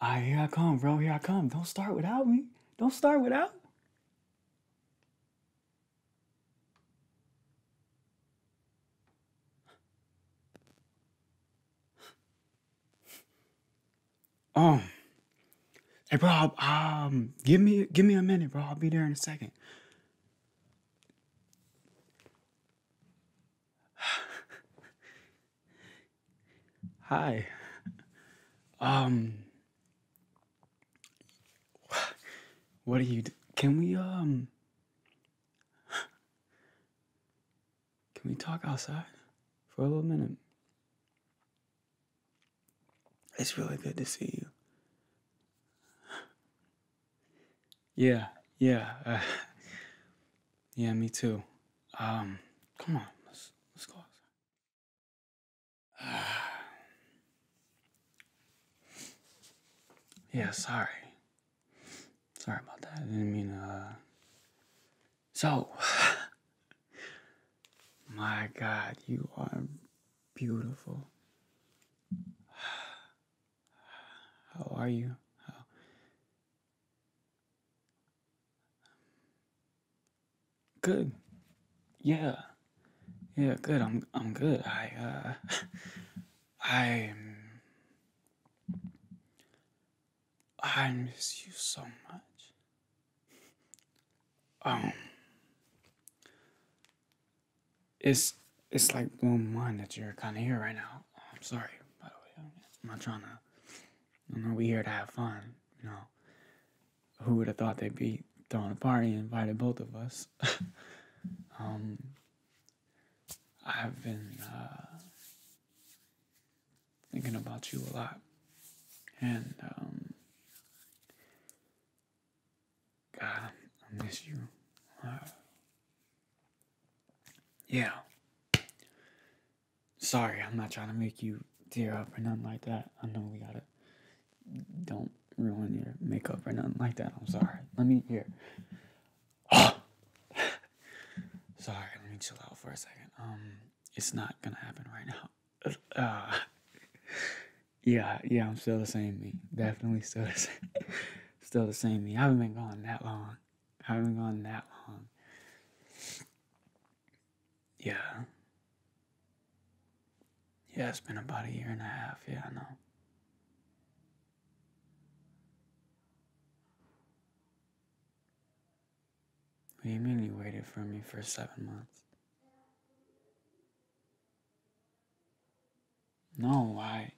Ah, here I come, bro. Here I come. Don't start without me. Don't start without. Um, hey, bro. Um, give me give me a minute, bro. I'll be there in a second. Hi. Um What are you do? Can we um Can we talk outside for a little minute? It's really good to see you. Yeah, yeah. Uh, yeah, me too. Um, come on, let's let's go outside. yeah, sorry. Sorry about that. I didn't mean uh So My god, you are beautiful. How are you? How Good. Yeah. Yeah, good. I'm I'm good. I uh, i I miss you so much. Um It's it's like blowing mind that you're kinda here right now. I'm sorry, by the way. I'm not trying to you know, we here to have fun. You know, who would have thought they'd be throwing a party and invited both of us? Um, I've been uh, thinking about you a lot, and um, God, I miss you. Yeah. Sorry, I'm not trying to make you tear up or nothing like that. I know we gotta. Don't ruin your makeup or nothing like that. I'm sorry. Let me here. Oh. sorry, let me chill out for a second. Um, it's not gonna happen right now. Uh, yeah, yeah, I'm still the same me. Definitely still the same. still the same me. I haven't been going that long haven't gone that long. Yeah. Yeah, it's been about a year and a half. Yeah, I know. What do you mean you waited for me for seven months? No, I.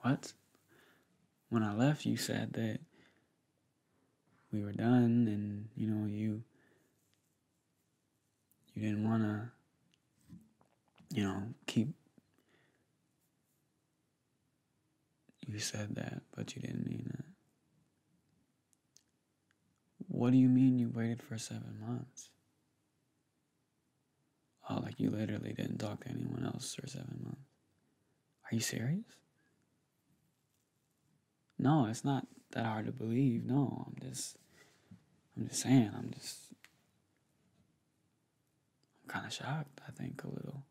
What? when I left, you said that we were done, and you know you you didn't want to you know keep. You said that, but you didn't mean it. What do you mean you waited for seven months? Oh, like you literally didn't talk to anyone else for seven months. Are you serious? No, it's not that hard to believe. No, I'm just, I'm just saying. I'm just, I'm kind of shocked. I think a little.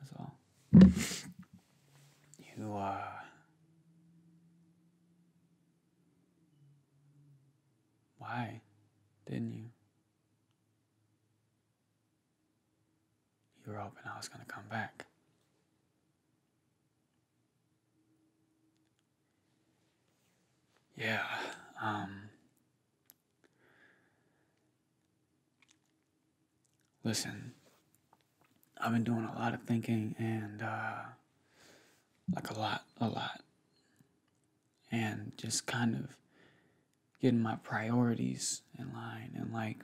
That's all. You are. Uh, why didn't you? You were hoping I was going to come back. Yeah, um, listen, I've been doing a lot of thinking and, uh, like a lot, a lot and just kind of getting my priorities in line and like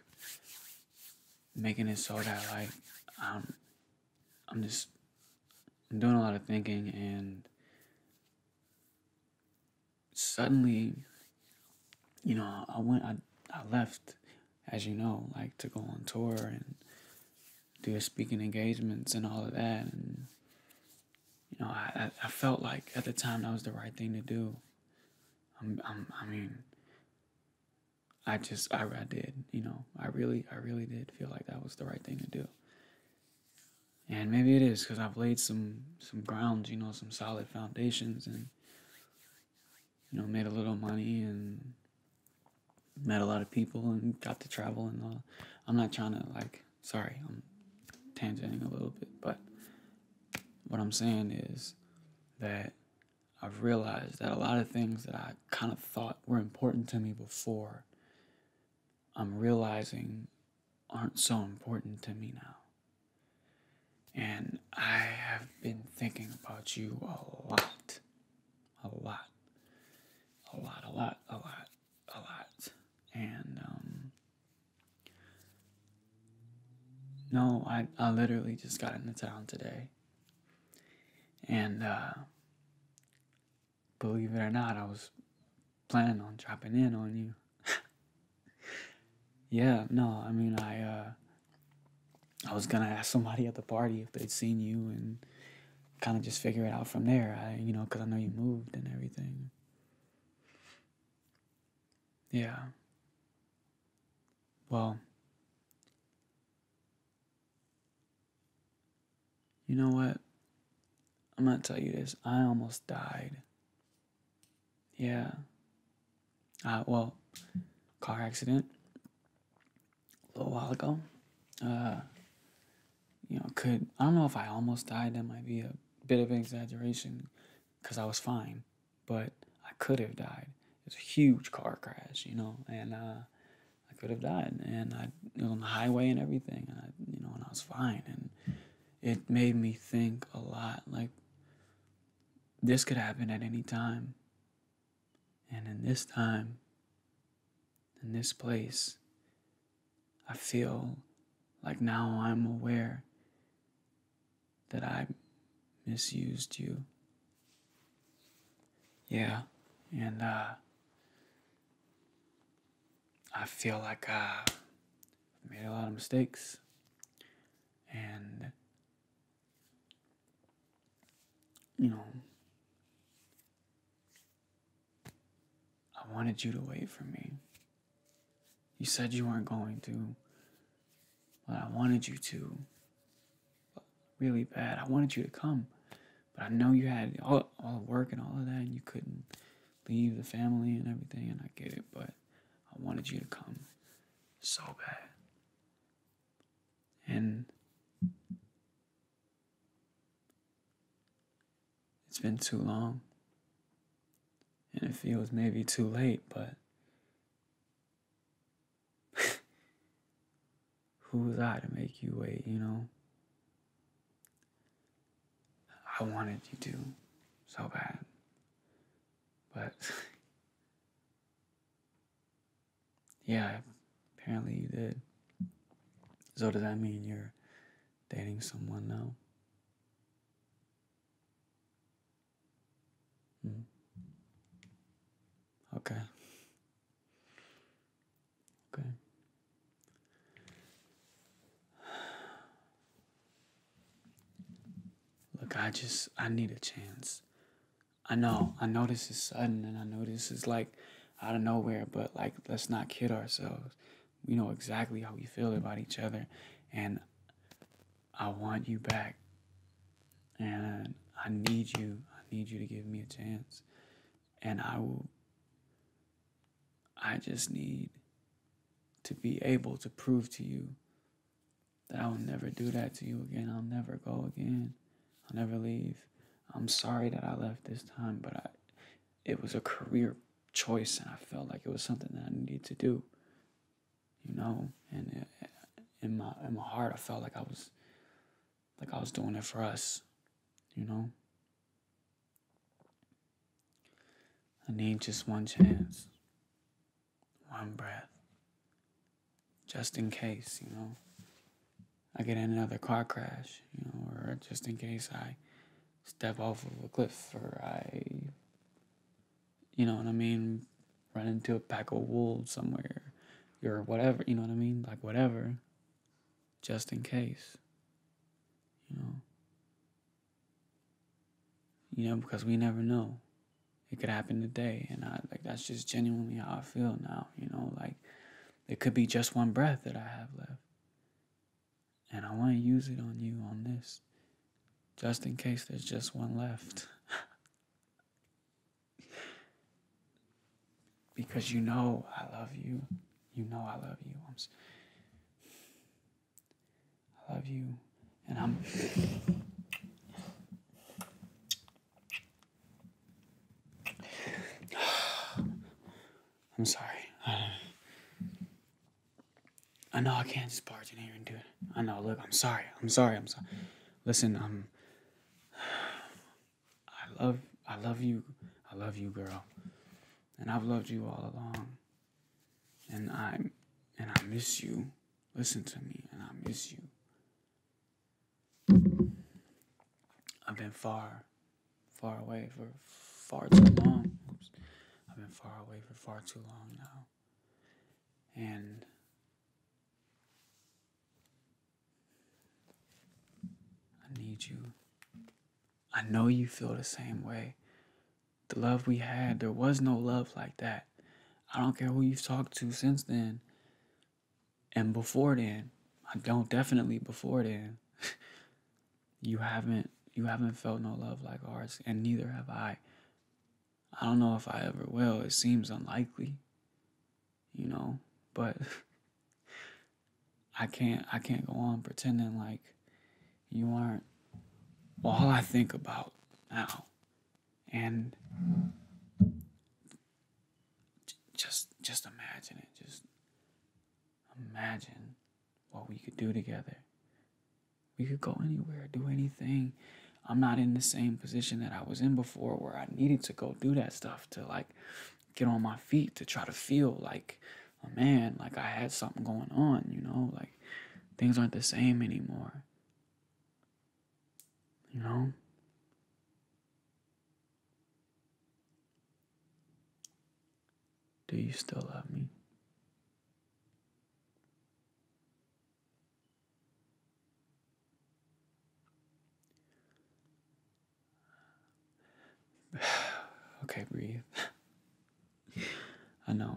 making it so that like um I'm just I'm doing a lot of thinking and suddenly you know I went I, I left as you know like to go on tour and do speaking engagements and all of that and you know, I, I felt like at the time that was the right thing to do. I'm, i mean, I just, I, I did, you know, I really, I really did feel like that was the right thing to do. And maybe it is because I've laid some, some grounds, you know, some solid foundations and, you know, made a little money and met a lot of people and got to travel and all. I'm not trying to like Sorry, I'm tangenting a little bit, but what I'm saying is that I've realized that a lot of things that I kind of thought were important to me before, I'm realizing aren't so important to me now. And I have been thinking about you a lot. A lot. A lot, a lot, a lot, a lot. And um, no, I, I literally just got into town today. And uh, believe it or not, I was planning on dropping in on you. yeah, no, I mean, I uh, I was gonna ask somebody at the party if they'd seen you and kind of just figure it out from there. I, you know, cause I know you moved and everything. Yeah. Well, you know what? I'm going to tell you this. I almost died. Yeah. Uh, well, car accident a little while ago. Uh, you know, could I don't know if I almost died. That might be a bit of exaggeration because I was fine, but I could have died. It's a huge car crash, you know, and uh, I could have died. And I it was on the highway and everything, and I, you know, and I was fine. And it made me think a lot like, this could happen at any time. And in this time, in this place, I feel like now I'm aware that I misused you. Yeah, and uh, I feel like i made a lot of mistakes. And, you know, I wanted you to wait for me. You said you weren't going to, but I wanted you to. Really bad. I wanted you to come, but I know you had all, all the work and all of that, and you couldn't leave the family and everything, and I get it, but I wanted you to come so bad. And it's been too long. And it feels maybe too late, but who was I to make you wait, you know? I wanted you to so bad. But yeah, apparently you did. So does that mean you're dating someone now? Mm. Okay. Okay. Look, I just I need a chance. I know, I know this is sudden and I know this is like out of nowhere, but like let's not kid ourselves we know exactly how we feel about each other and i want you back and i need you i need you to give me a chance and i will i just need to be able to prove to you that i'll never do that to you again i'll never go again i'll never leave i'm sorry that i left this time but i it was a career choice and I felt like it was something that I needed to do. You know, and uh, in my in my heart I felt like I was like I was doing it for us, you know? I need just one chance. One breath. Just in case, you know. I get in another car crash, you know, or just in case I step off of a cliff or I, you know what I mean, run into a pack of wolves somewhere or whatever, you know what I mean? Like, whatever, just in case, you know? You know, because we never know. It could happen today, and I like that's just genuinely how I feel now, you know? Like, it could be just one breath that I have left and I want to use it on you on this just in case there's just one left. because you know I love you. You know I love you. i love you. And I'm. I'm sorry. I know I can't just barge in here and do it. I know. Look, I'm sorry. I'm sorry. I'm sorry. Listen, um, I love, I love you. I love you, girl. And I've loved you all along. And I, and I miss you. Listen to me, and I miss you. I've been far far away for far too long. I've been far away for far too long now. And I need you. I know you feel the same way. The love we had, there was no love like that. I don't care who you've talked to since then and before then. I don't definitely before then. you haven't you haven't felt no love like ours and neither have I. I don't know if I ever will. It seems unlikely. You know, but I can't I can't go on pretending like you aren't all I think about now. And just just imagine it. Just Imagine what we could do together. We could go anywhere, do anything. I'm not in the same position that I was in before where I needed to go do that stuff to like get on my feet to try to feel like a man, like I had something going on, you know, like things aren't the same anymore. You know? Do you still love me? okay, breathe. I know.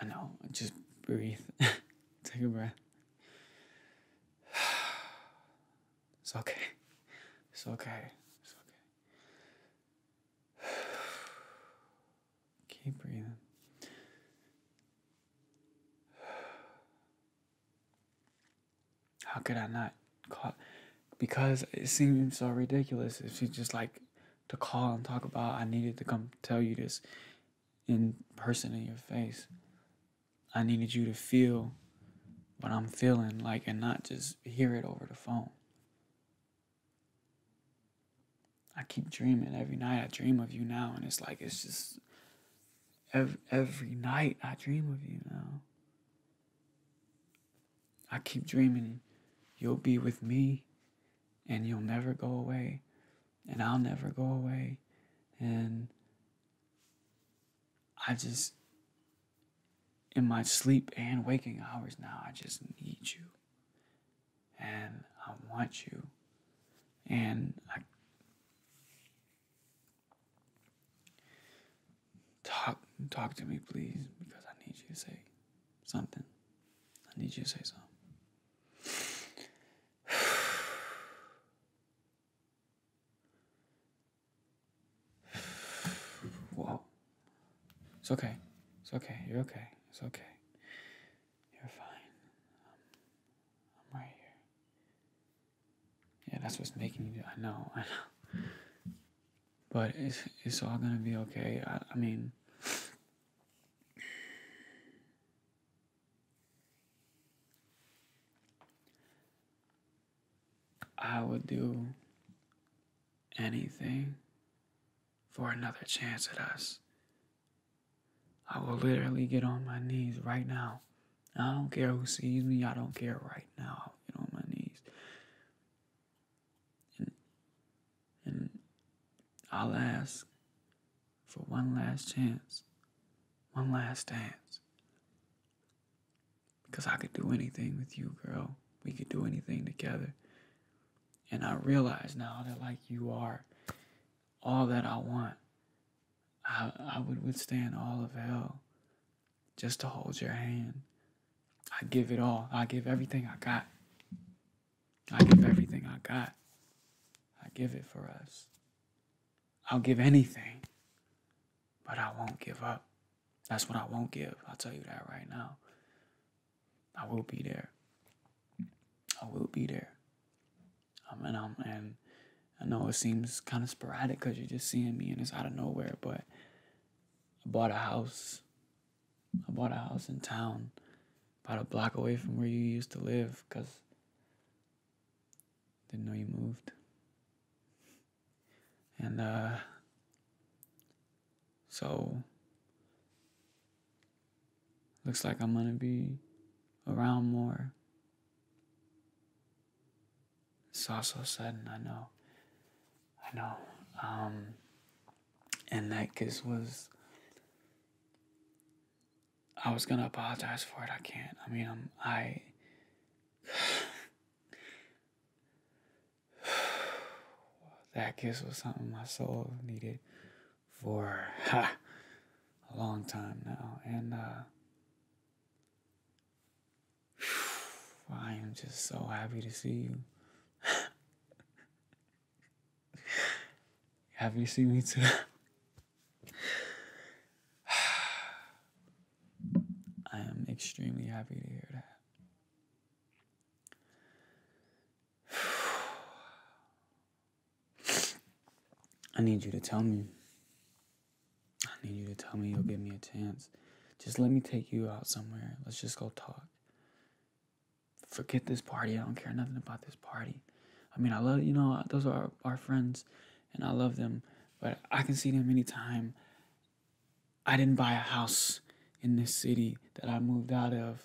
I know. Just breathe. Take a breath. It's okay. It's okay. It's okay. Keep breathing. How could I not call? Because it seemed so ridiculous if she just like to call and talk about I needed to come tell you this in person in your face. I needed you to feel but I'm feeling like and not just hear it over the phone. I keep dreaming every night. I dream of you now, and it's like it's just every, every night I dream of you now. I keep dreaming you'll be with me and you'll never go away and I'll never go away and I just, in my sleep and waking hours now, I just need you. And I want you. And I talk talk to me please because I need you to say something. I need you to say something. Whoa. It's okay. It's okay. You're okay. It's okay. You're fine. Um, I'm, right here. Yeah, that's what's making you. Do. I know. I know. But it's it's all gonna be okay. I, I mean. I would do anything for another chance at us. I will literally get on my knees right now. I don't care who sees me, I don't care right now. get on my knees. and I'll ask for one last chance, one last dance. Because I could do anything with you, girl. We could do anything together. And I realize now that, like, you are all that I want. I, I would withstand all of hell just to hold your hand. I give it all. I give everything I got. I give everything I got. I give it for us. I'll give anything. But I won't give up. That's what I won't give. I'll tell you that right now. I will be there. I will be there. Um, and i and I know it seems kind of sporadic because you're just seeing me and it's out of nowhere, but I bought a house. I bought a house in town, about a block away from where you used to live, because didn't know you moved. And uh, so, looks like I'm gonna be around more. It's all so sudden, I know. I know. Um, and that kiss was. I was gonna apologize for it. I can't. I mean, I'm. I. that kiss was something my soul needed for a long time now. And uh, I am just so happy to see you. Have you seen me too. I am extremely happy to hear that. I need you to tell me. I need you to tell me you'll give me a chance. Just let me take you out somewhere. Let's just go talk. Forget this party. I don't care nothing about this party. I mean, I love, you know, those are our, friends and I love them, but I can see them anytime. I didn't buy a house in this city that I moved out of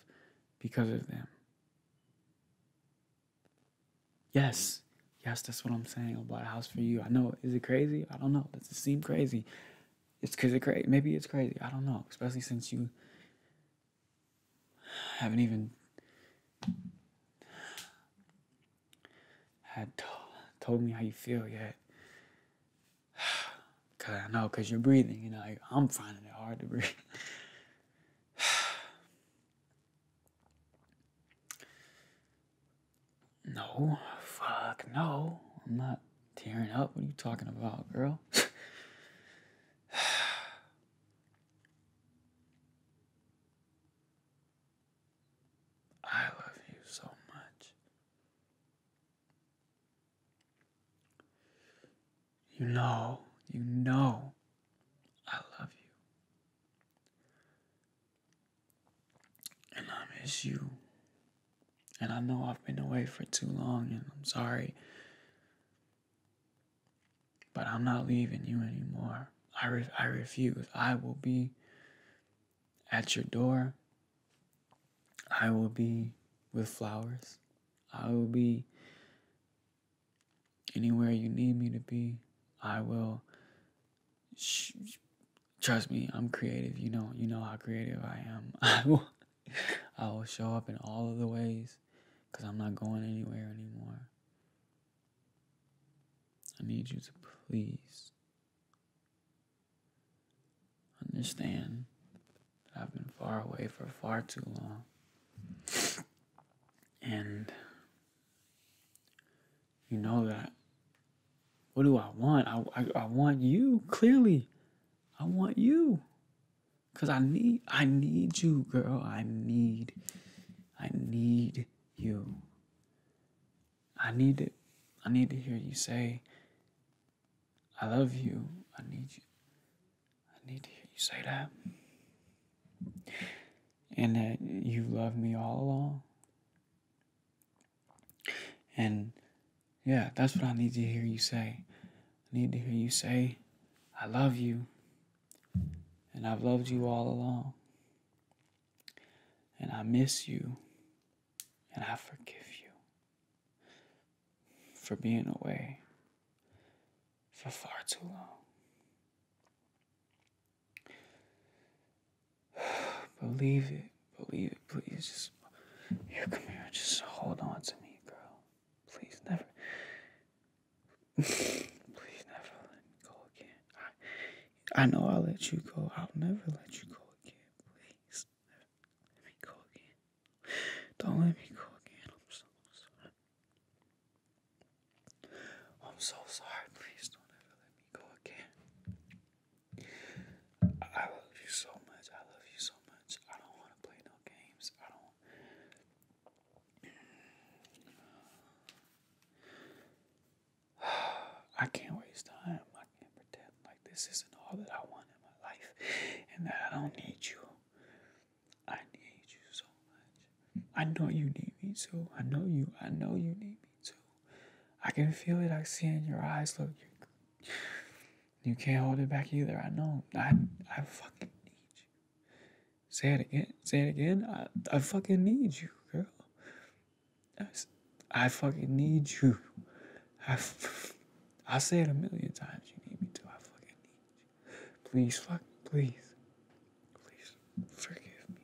because of them. Yes, yes, that's what I'm saying about a house for you. I know. Is it crazy? I don't know. Does it seem crazy? It's because it's crazy. Maybe it's crazy. I don't know. Especially since you haven't even had told me how you feel yet. Cause I know, cause you're breathing. You know, I'm finding it hard to breathe. no, fuck no. I'm not tearing up. What are you talking about, girl? I love you so much. You know, you know, I love you. And I miss you. And I know I've been away for too long, and I'm sorry. But I'm not leaving you anymore. I, I refuse. I will be at your door. I will be with flowers. I will be anywhere you need me to be. I will. Trust me, I'm creative. You know, you know how creative I am. I will, I will show up in all of the ways, cause I'm not going anywhere anymore. I need you to please understand that I've been far away for far too long. And you know that. What do I want? I, I, want you, clearly. I want you. Cause I need I need you, girl. I need I need you. I need it. I need to hear you say, I love you. I need you. I need to hear you say that. And that you love me all along. And yeah, that's what I need to hear you say. I need to hear you say, I love you. And I've loved you all along. And I miss you. And I forgive you for being away for far too long. believe it. Believe it. Please just here come here. Just hold on to me, girl. Please never Please never let me go again. I, I know I'll let you go. I'll never let you go again. Please let me go again. Don't let me go again. I'm so sorry. I'm so sorry. Please don't ever let me go again. I love you so much. I love you so much. I don't want to play no games. I don't. I can't waste time. I can't pretend like this isn't all that I want in my life and that I don't need you. I need you so much. I know you need me too. I know you. I know you need me too. I can feel it. I see it in your eyes. Look, you, you can't hold it back either. I know. I, I fucking need you. Say it again. Say it again. I, I fucking need you, girl. I, I fucking need you. I, I say it a million times. You need me too. I fucking need you. Please, fuck, please, please forgive me.